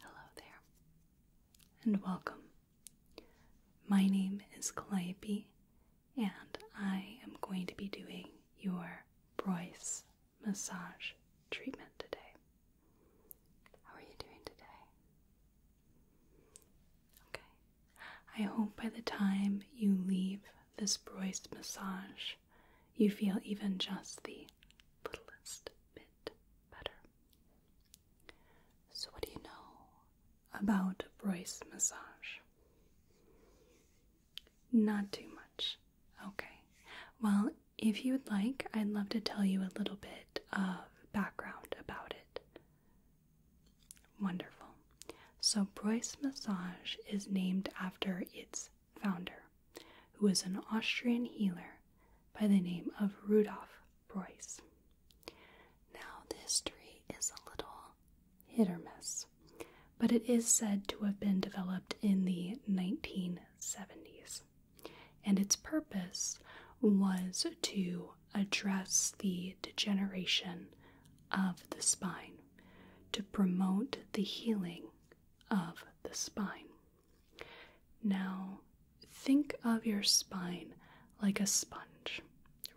Hello there, and welcome. My name is Calliope, and I am going to be doing your Bryce massage treatment today. How are you doing today? Okay. I hope by the time you leave this Bryce massage, you feel even just the littlest bit better. So, what do you know about Royce massage? Not too much. Okay. Well, if you'd like, I'd love to tell you a little bit of background about it. Wonderful. So, Bruce Massage is named after its founder, who was an Austrian healer by the name of Rudolf Preuss. Now, the history is a little hit or miss, but it is said to have been developed in the 1970s, and its purpose was to address the degeneration of the spine, to promote the healing of the spine. Now, think of your spine like a sponge,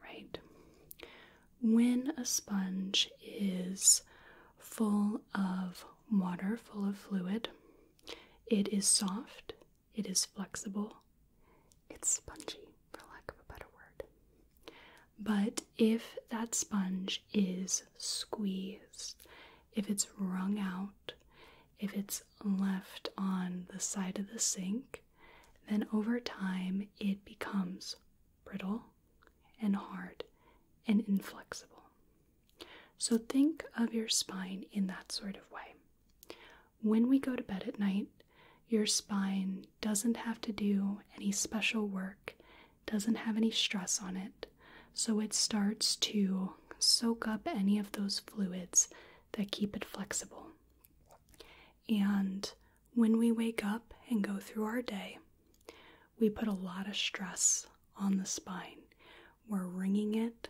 right? When a sponge is full of water, full of fluid, it is soft, it is flexible, it's spongy, for lack of a better word. But if that sponge is squeezed if it's wrung out, if it's left on the side of the sink, then over time it becomes brittle and hard and inflexible. So think of your spine in that sort of way. When we go to bed at night, your spine doesn't have to do any special work, doesn't have any stress on it. So it starts to soak up any of those fluids that keep it flexible. And when we wake up and go through our day, we put a lot of stress on the spine. We're wringing it,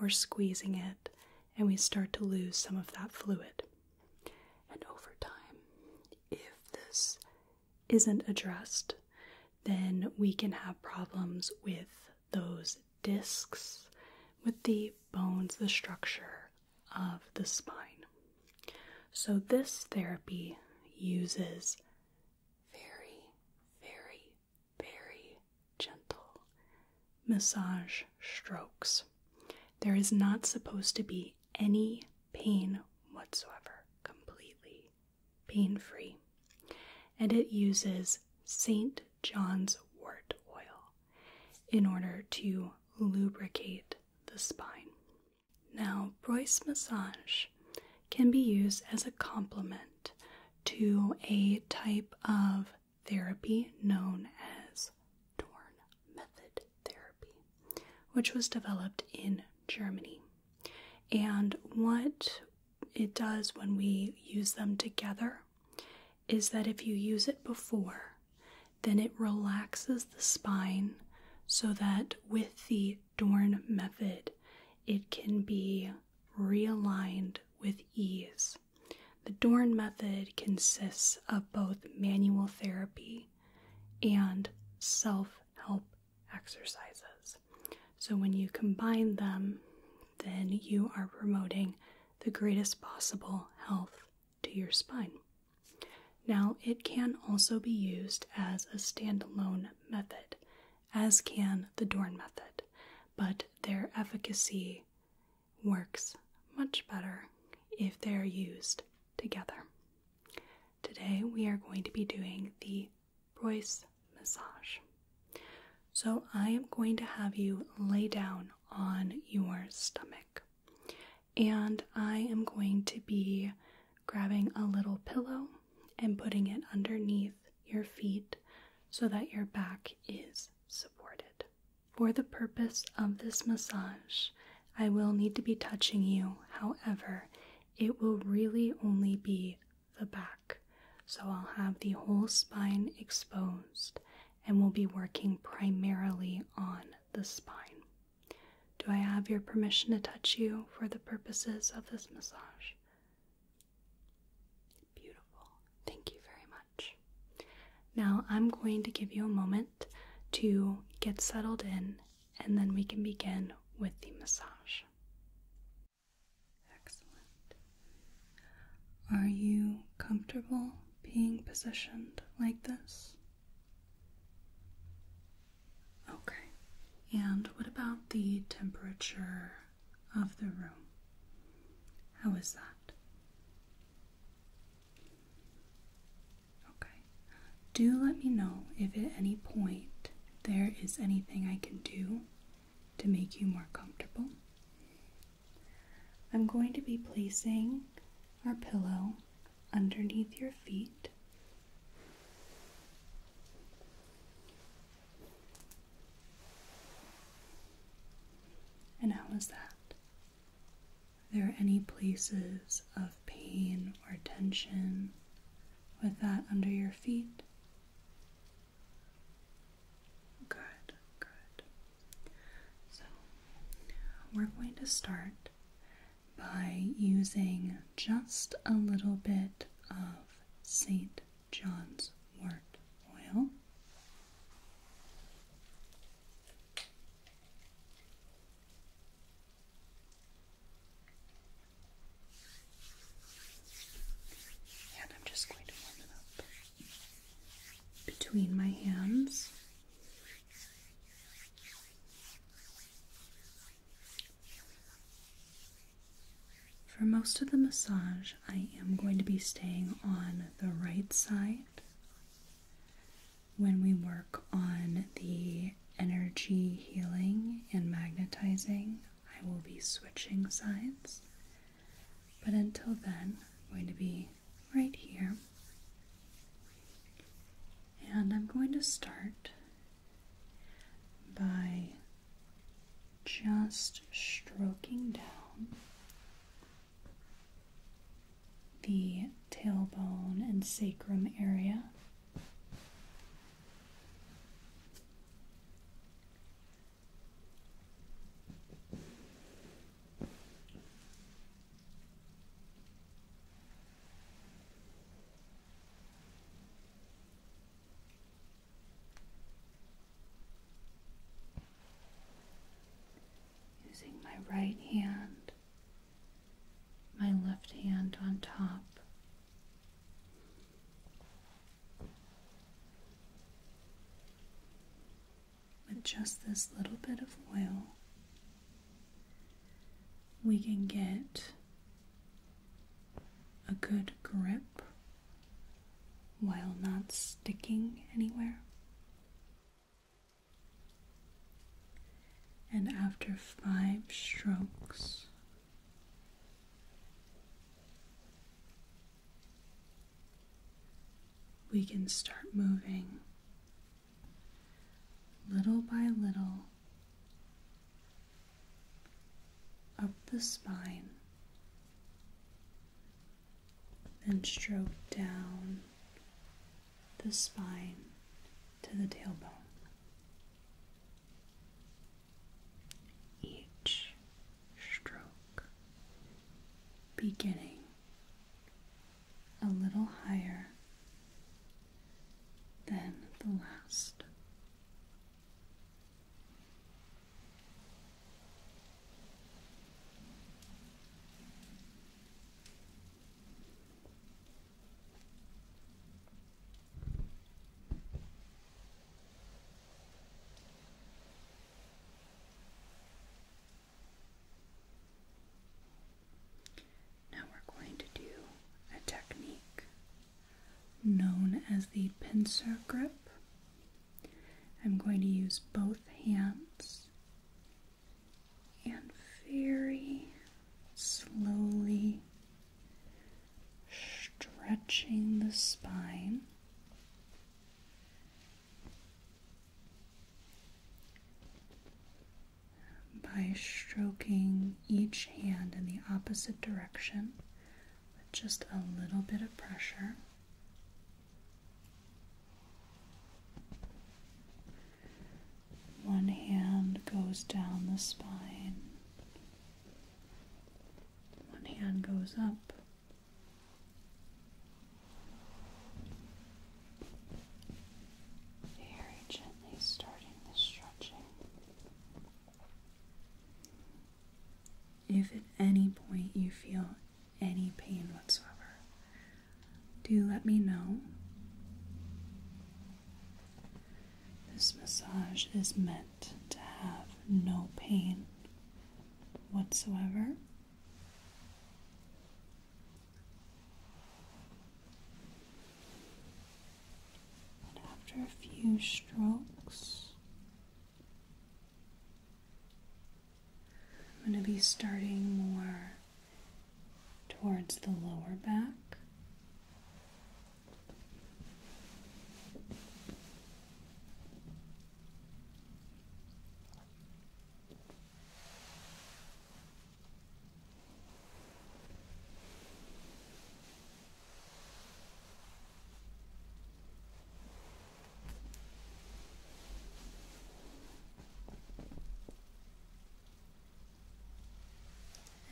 we're squeezing it, and we start to lose some of that fluid. And over time, if this isn't addressed, then we can have problems with those discs with the bones, the structure of the spine. So, this therapy uses very, very, very gentle massage strokes. There is not supposed to be any pain whatsoever, completely pain free. And it uses St. John's wort oil in order to lubricate the spine. Now, Bryce massage can be used as a complement to a type of therapy known as Dorn method therapy, which was developed in Germany. And what it does when we use them together is that if you use it before, then it relaxes the spine so that with the Dorn method, it can be realigned with ease. The Dorn method consists of both manual therapy and self help exercises. So when you combine them, then you are promoting the greatest possible health to your spine. Now, it can also be used as a standalone method, as can the Dorn method, but their efficacy works much better if they're used together. Today, we are going to be doing the Royce massage. So, I am going to have you lay down on your stomach, and I am going to be grabbing a little pillow and putting it underneath your feet so that your back is supported. For the purpose of this massage, I will need to be touching you, however, it will really only be the back. So I'll have the whole spine exposed and we'll be working primarily on the spine. Do I have your permission to touch you for the purposes of this massage? Beautiful. Thank you very much. Now I'm going to give you a moment to get settled in and then we can begin with the massage. Excellent. Are you comfortable being positioned like this? Okay. And what about the temperature of the room? How is that? Okay. Do let me know if at any point there is anything I can do to make you more comfortable. I'm going to be placing our pillow underneath your feet. And how is that? Are there any places of pain or tension with that under your feet? Good, good. So we're going to start by using just a little bit of St. John's wort oil. And I'm just going to warm it up between my hands. For most of the massage, I am going to be staying on the right side when we work on the energy healing and magnetizing I will be switching sides. But until then, I'm going to be right here. And I'm going to start by just stroking down the tailbone and sacrum area. Using my right hand, my left hand on top, with just this little bit of oil, we can get a good grip while not sticking anywhere. And after five strokes we can start moving little by little up the spine and stroke down the spine to the tailbone each stroke, beginning a little higher than the last. Now we're going to do a technique known as the pincer grip. I'm going to use both hands and very slowly stretching the spine. By stroking each hand in the opposite direction with just a little bit of pressure. One hand goes down the spine, one hand goes up, very gently starting the stretching. If at any point you feel any pain whatsoever, do let me know. This massage is meant to have no pain whatsoever. And after a few strokes, I'm going to be starting more towards the lower back.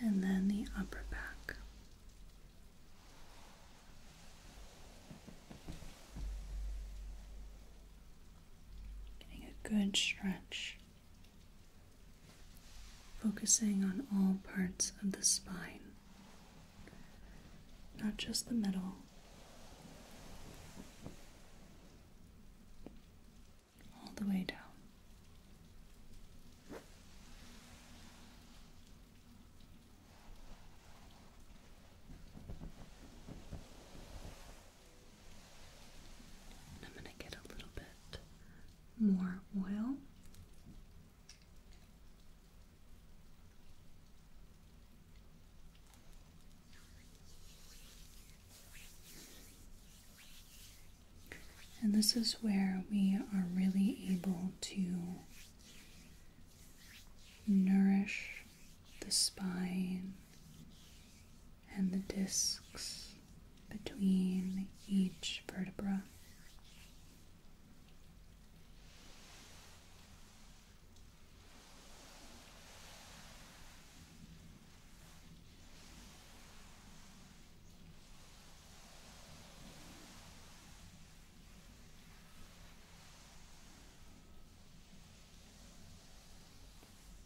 And then the upper back. Getting a good stretch. Focusing on all parts of the spine, not just the middle. All the way down. I'm going to get a little bit more oil. And this is where we are really able to nourish the spine and the discs between each vertebra.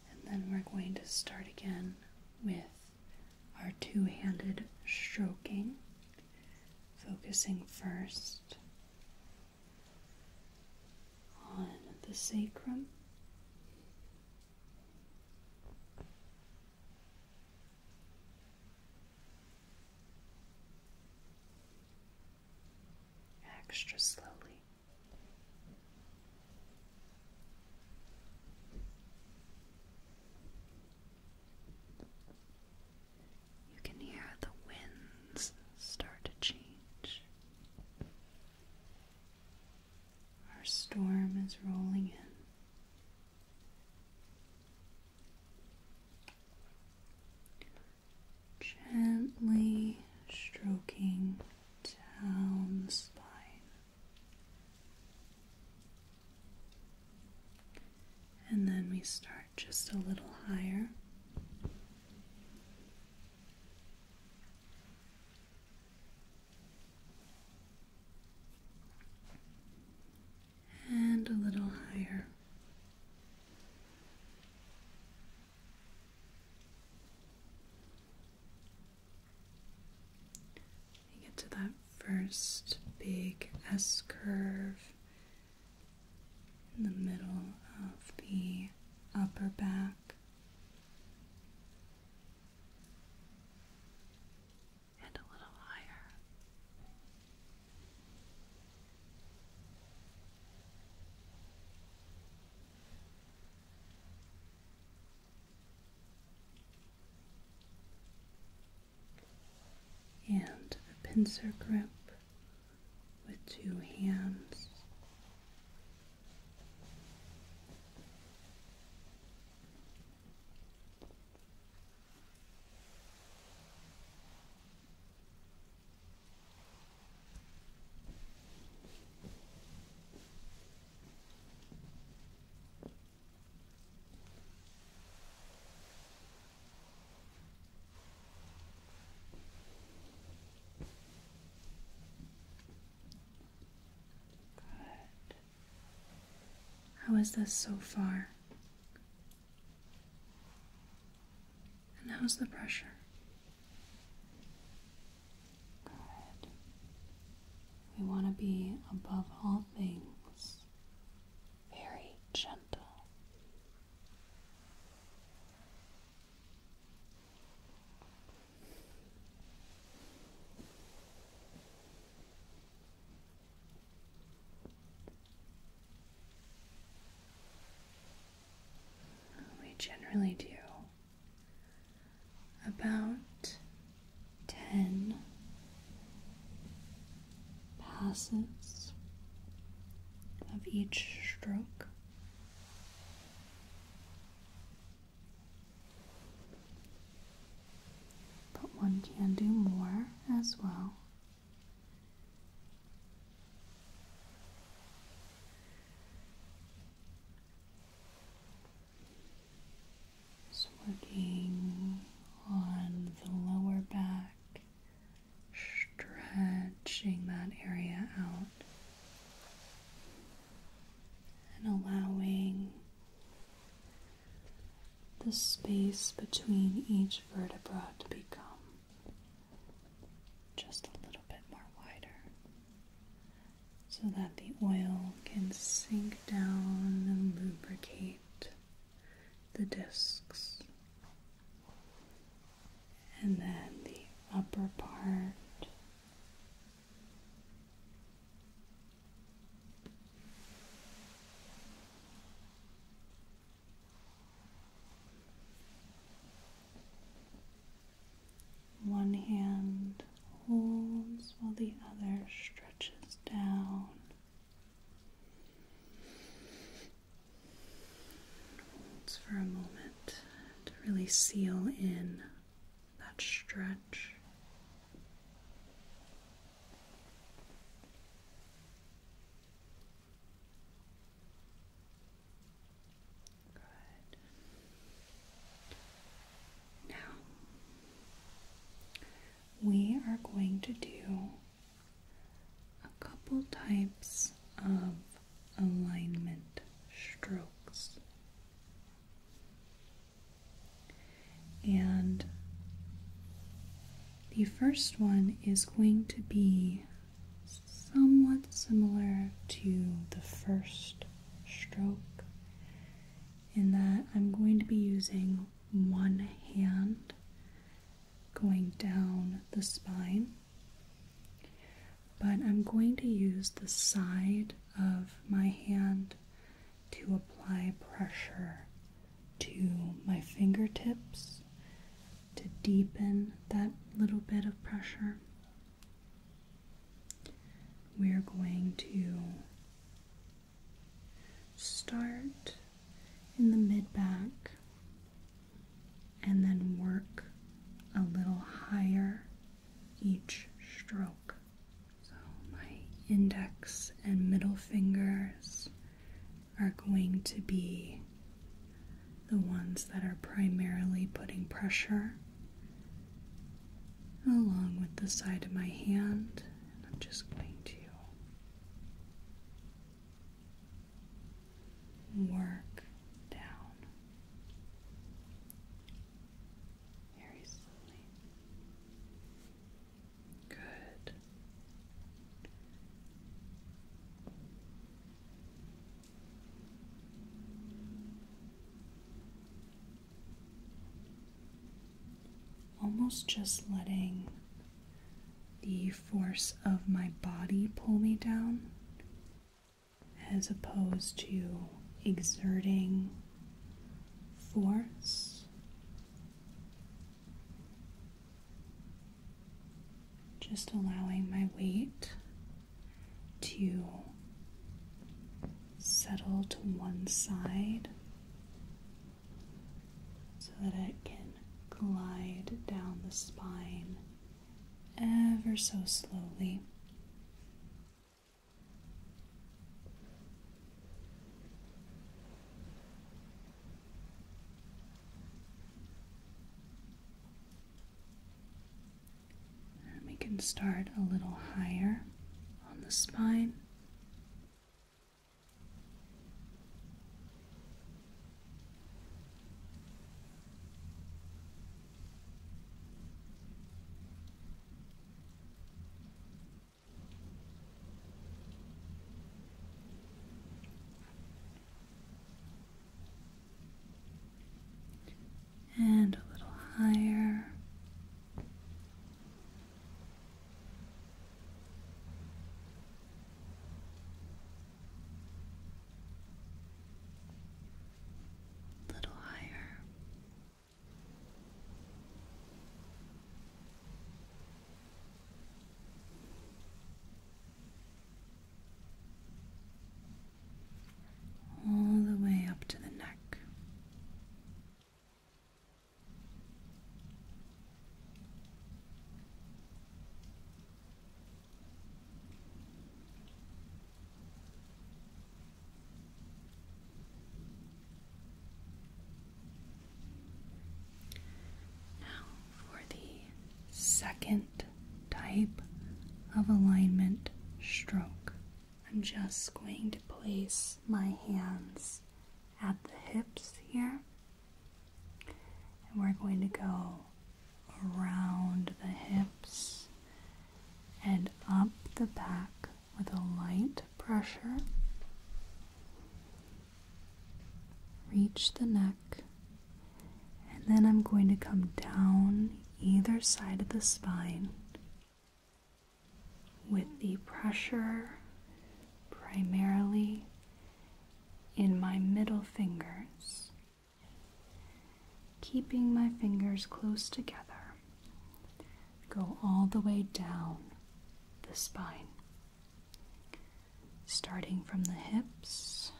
And then we're going to start again with our two handed stroking, focusing first on the sacrum extra slowly. You can hear the winds start to change. Our storm is rolling in. Gently stroking down the spine. And then we start just a little higher and a little higher. get to that first big S curve in the middle of the upper back. And a little higher and a pincer grip with two hands. How is this so far? And how's the pressure? We want to be above all things very gentle. We generally do about 10 passes of each stroke. But one can do more as well working on the lower back, stretching that area out and allowing the space between each vertebra to become just a little bit more wider so that the oil can sink down and lubricate the discs. And then the upper part one hand holds while the other stretches down. Holds for a moment to really seal in that stretch. Now we are going to do a couple types of alignment strokes. And the first one is going to be somewhat similar to the first stroke in that I'm going to be using one hand going down the spine, but I'm going to use the side of my hand to apply pressure to my fingertips to deepen that little bit of pressure. We're going to start in the mid back and then work a little higher each stroke. So my index and middle fingers are going to be the ones that are primarily putting pressure along with the side of my hand. And I'm just going to work down very slowly. Good. Almost just letting the force of my body pull me down as opposed to exerting force just allowing my weight to settle to one side so that it can glide down the spine ever so slowly we can start a little higher on the spine and a little higher. Little higher all the way up to the neck. Now, for the second type of alignment stroke, I'm just going to place my hands at the hips here, and we're going to go around the hips and up the back with a light pressure reach the neck, and then I'm going to come down either side of the spine with the pressure primarily in my middle fingers, keeping my fingers close together. Go all the way down the spine starting from the hips,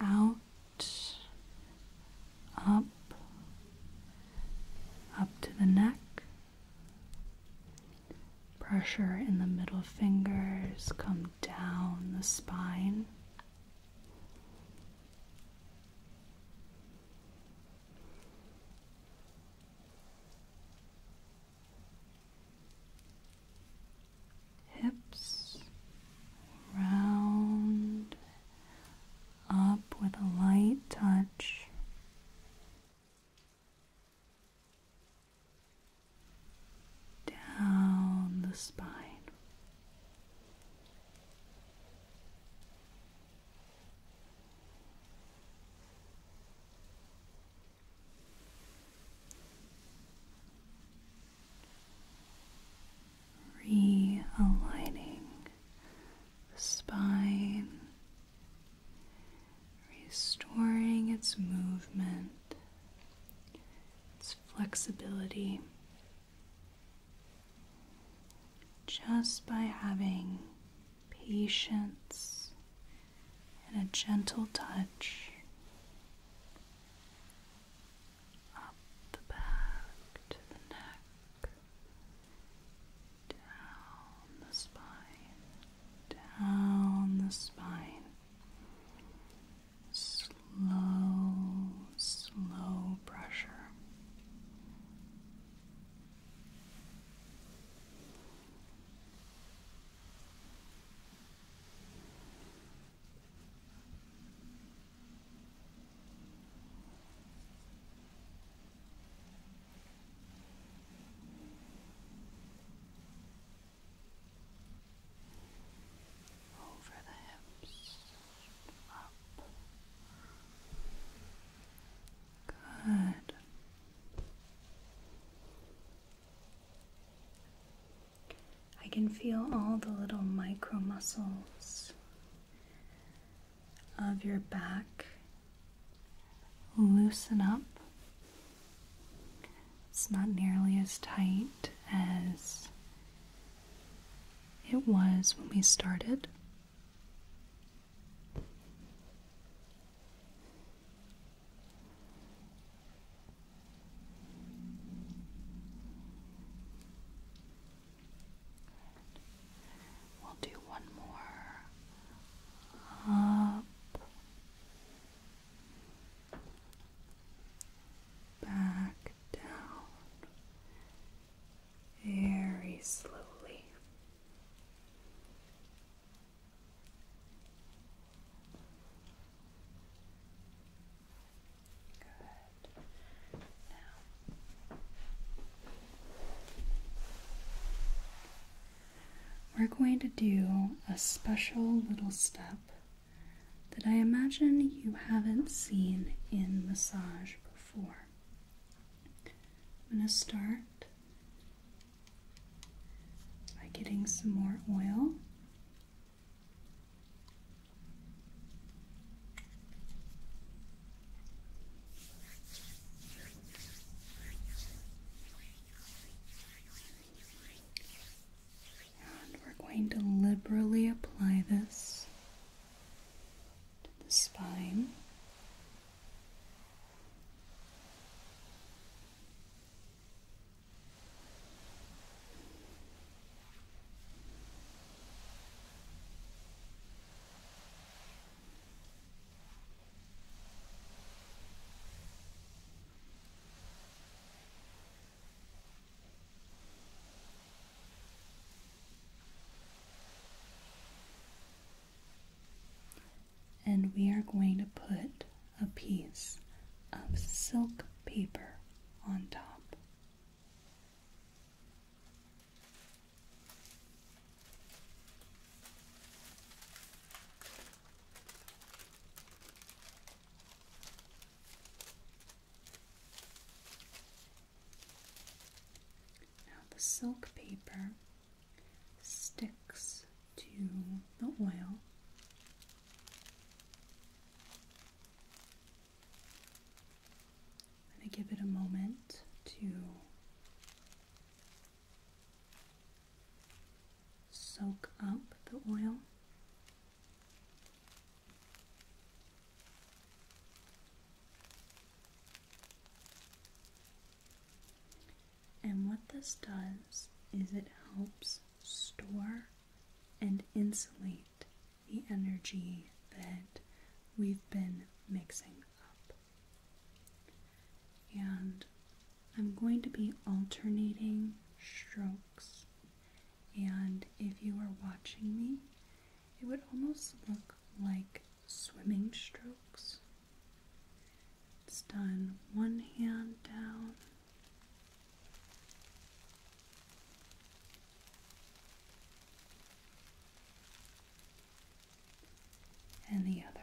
out, up, up to the neck. Pressure in the middle fingers come down the spine hips round up with a light touch. Down the spine. Realigning the spine, restoring its movement, its flexibility, just by having patience and a gentle touch up the back to the neck, down the spine, down the spine. Slow, slow pressure. Over the hips, up. Good. I can feel all the little micro muscles of your back loosen up. It's not nearly as tight as it was when we started. We'll do one more up, back down, very slowly we're going to do a special little step that I imagine you haven't seen in massage before. I'm going to start by getting some more oil. And we're going to liberally apply this to the spine. And we are going to put a piece of silk paper on top. Now the silk paper sticks to the oil. i give it a moment to soak up the oil. And what this does is it helps store and insulate the energy that we've been mixing up. And I'm going to be alternating strokes. And if you are watching me, it would almost look like swimming strokes. It's done one hand down and the other.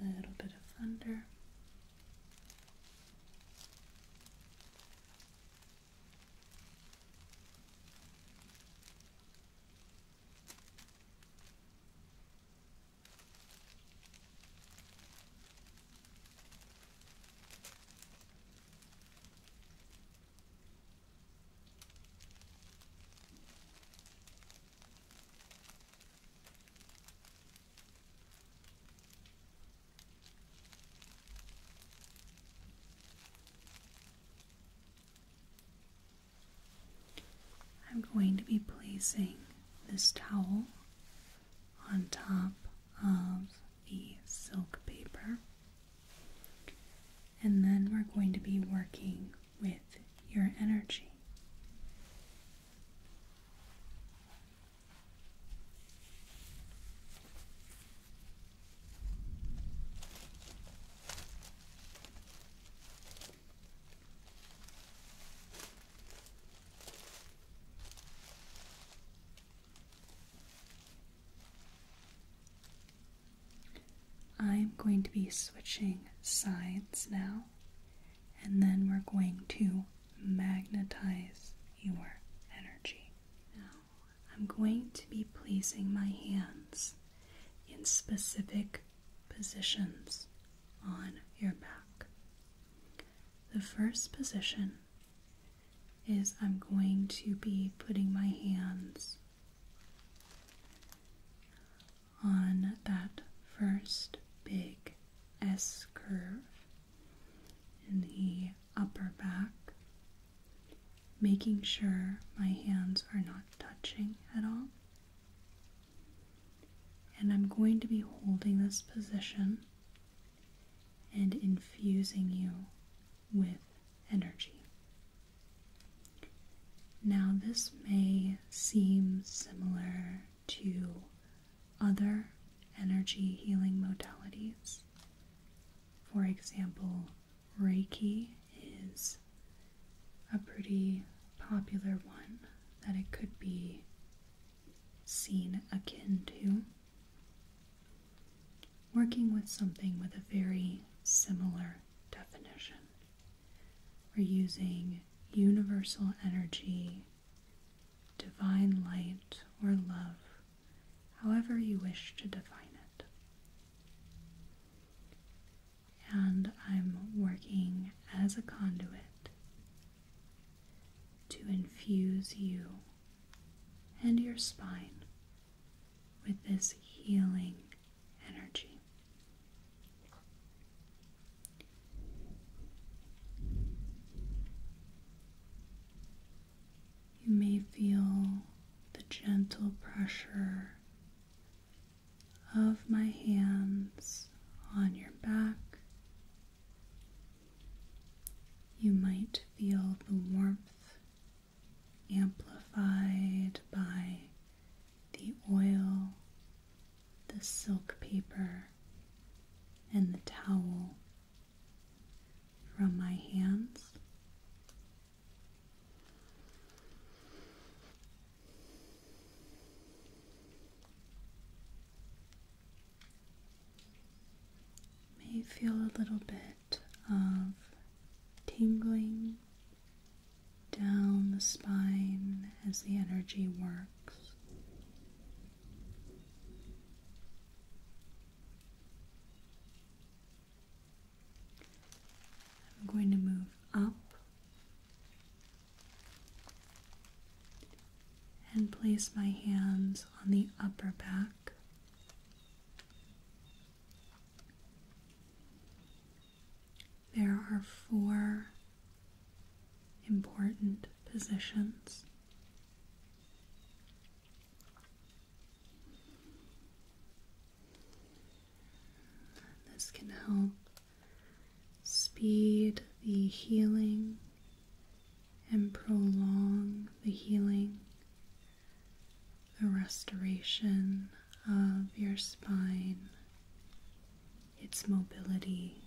A little bit of thunder. I'm going to be placing this towel on top of the silk paper. And then we're going to be working with your energy. I'm going to be switching sides now, and then we're going to magnetize your energy. Now, I'm going to be placing my hands in specific positions on your back. The first position is I'm going to be putting my hands on that first big S curve in the upper back, making sure my hands are not touching at all. And I'm going to be holding this position and infusing you with energy. Now, this may seem similar to other energy healing modalities. For example, Reiki is a pretty popular one that it could be seen akin to working with something with a very similar definition. We're using universal energy, divine light, or love, however you wish to define it. And I'm working as a conduit to infuse you and your spine with this healing energy. You may feel the gentle pressure of my hands on your back you might feel the warmth amplified by the oil, the silk paper, and the towel from my hands may feel a little bit of tingling down the spine as the energy works. I'm going to move up and place my hands on the upper back. There are four important positions. This can help speed the healing and prolong the healing, the restoration of your spine, its mobility,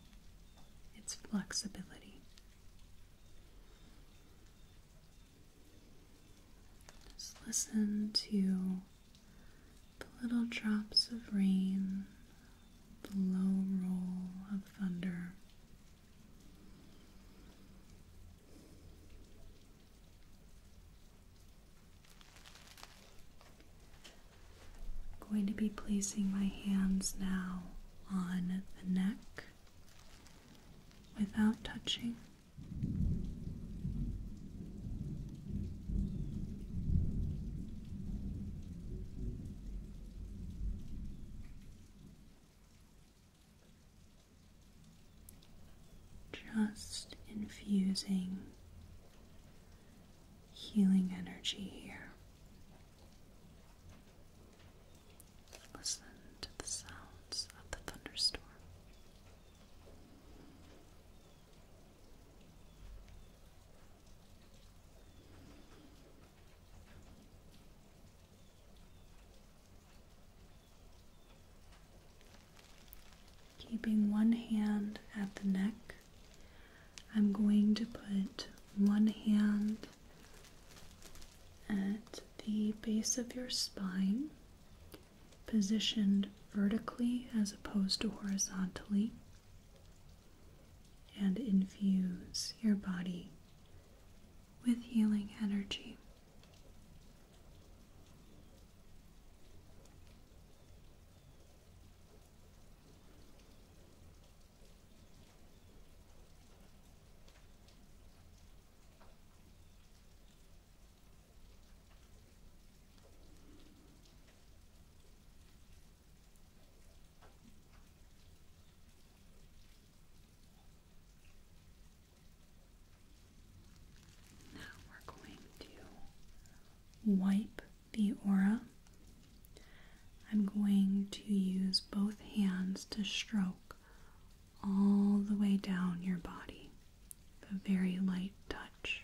its flexibility. Just listen to the little drops of rain the low roll of thunder. I'm going to be placing my hands now on the neck without touching. Just infusing healing energy here. Listen to the sounds of the thunderstorm. Keeping one hand at the neck, I'm going to put one hand at the base of your spine, positioned vertically as opposed to horizontally and infuse your body with healing energy. Now we're going to wipe the aura. I'm going to use both hands to stroke all the way down your body, a very light touch.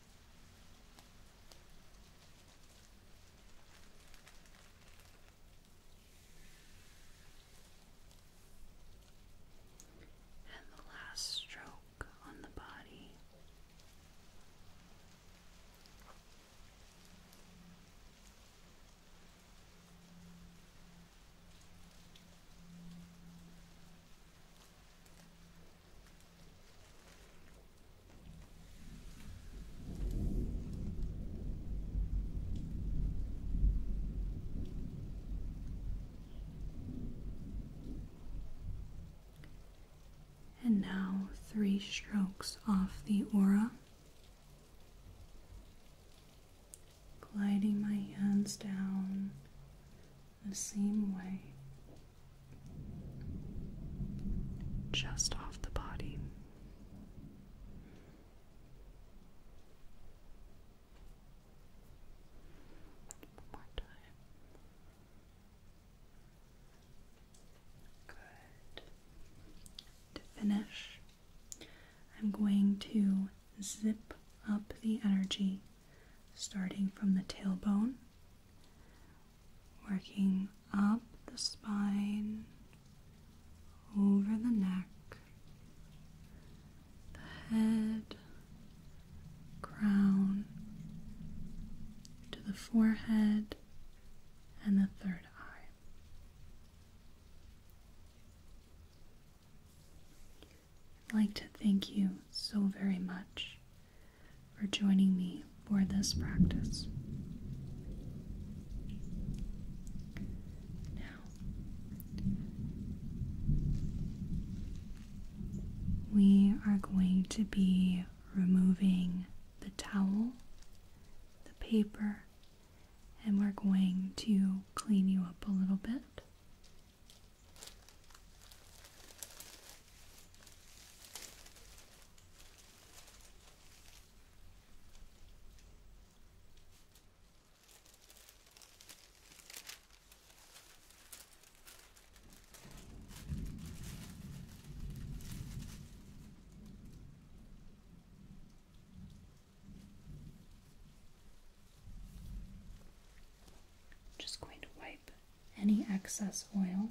And the last stroke on the body. And now three strokes off the aura, gliding my hands down the same way just off the body. One more time. Good. To finish, I'm going to zip up the energy starting from the tailbone working up the spine, over the neck, the head, crown, to the forehead, and the third eye. I'd like to thank you so very much for joining me for this practice. Now, we are going to be removing the towel, the paper, and we're going to clean you up a little bit just going to wipe any excess oil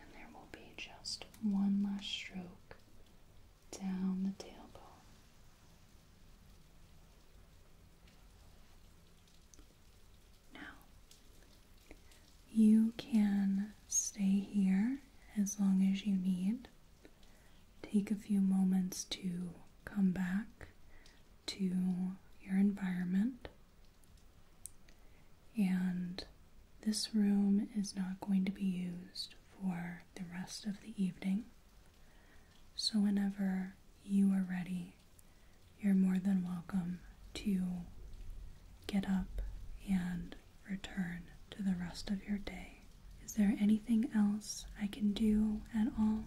And there will be just one last stroke down the tailbone. Now, you can stay here as long as you need. Take a few moments to come back to your environment. And this room is not going to be used for the rest of the evening. So, whenever you are ready, you're more than welcome to get up and return to the rest of your day. Is there anything else I can do at all?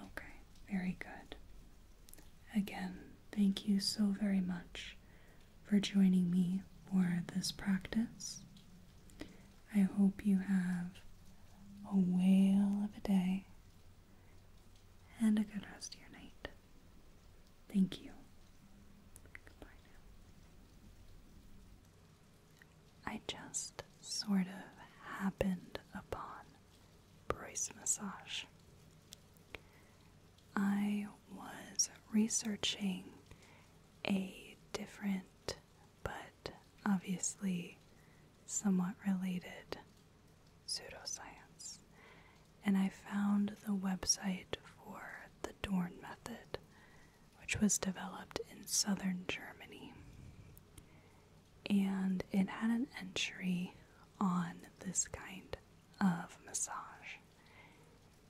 Okay, very good. Again, thank you so very much for joining me for this practice. I hope you have a whale of a day and a good rest of your night. Thank you. Goodbye now. I just sort of happened upon Bruce massage. I was researching a different but obviously somewhat related pseudoscience, and I found the website for the Dorn method, which was developed in southern Germany and it had an entry on this kind of massage.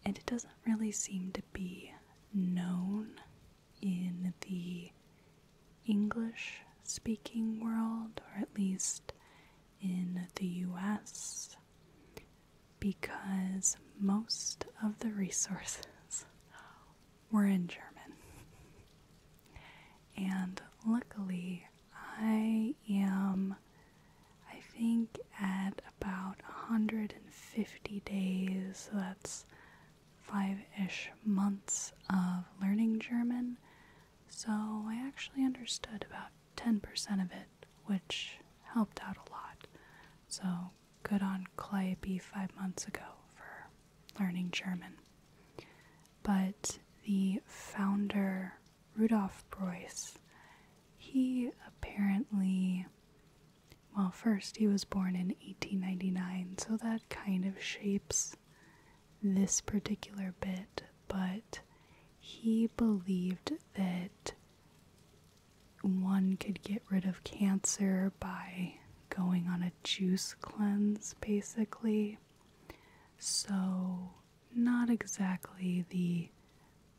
And it doesn't really seem to be known in the English speaking world, or at least in the US, because most of the resources we're in German. And luckily, I am, I think, at about 150 days, so that's five ish months of learning German. So I actually understood about 10% of it, which helped out a lot. So good on Calliope five months ago for learning German. But the founder, Rudolf Preuss, he apparently, well, first he was born in 1899, so that kind of shapes this particular bit, but he believed that one could get rid of cancer by going on a juice cleanse basically. So, not exactly the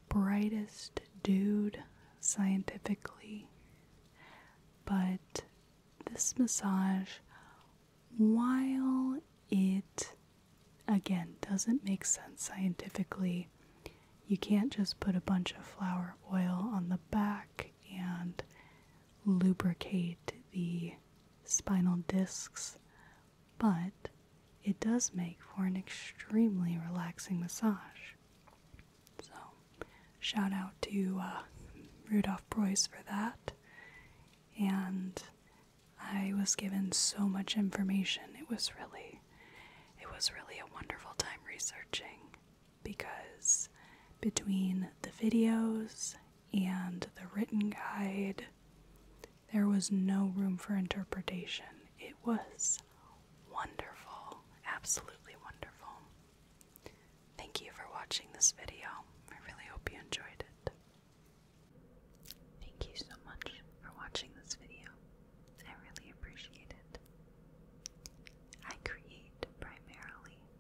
brightest dude scientifically, but this massage, while it again doesn't make sense scientifically, you can't just put a bunch of flower oil on the back and lubricate the spinal discs, but it does make for an extremely relaxing massage. So, shout out to uh, Rudolph Preuss for that. And I was given so much information. It was really, it was really a wonderful time researching because between the videos and the written guide, there was no room for interpretation. It was wonderful, absolutely wonderful. Thank you for watching this video. I really hope you enjoyed it. Thank you so much for watching this video. I really appreciate it. I create primarily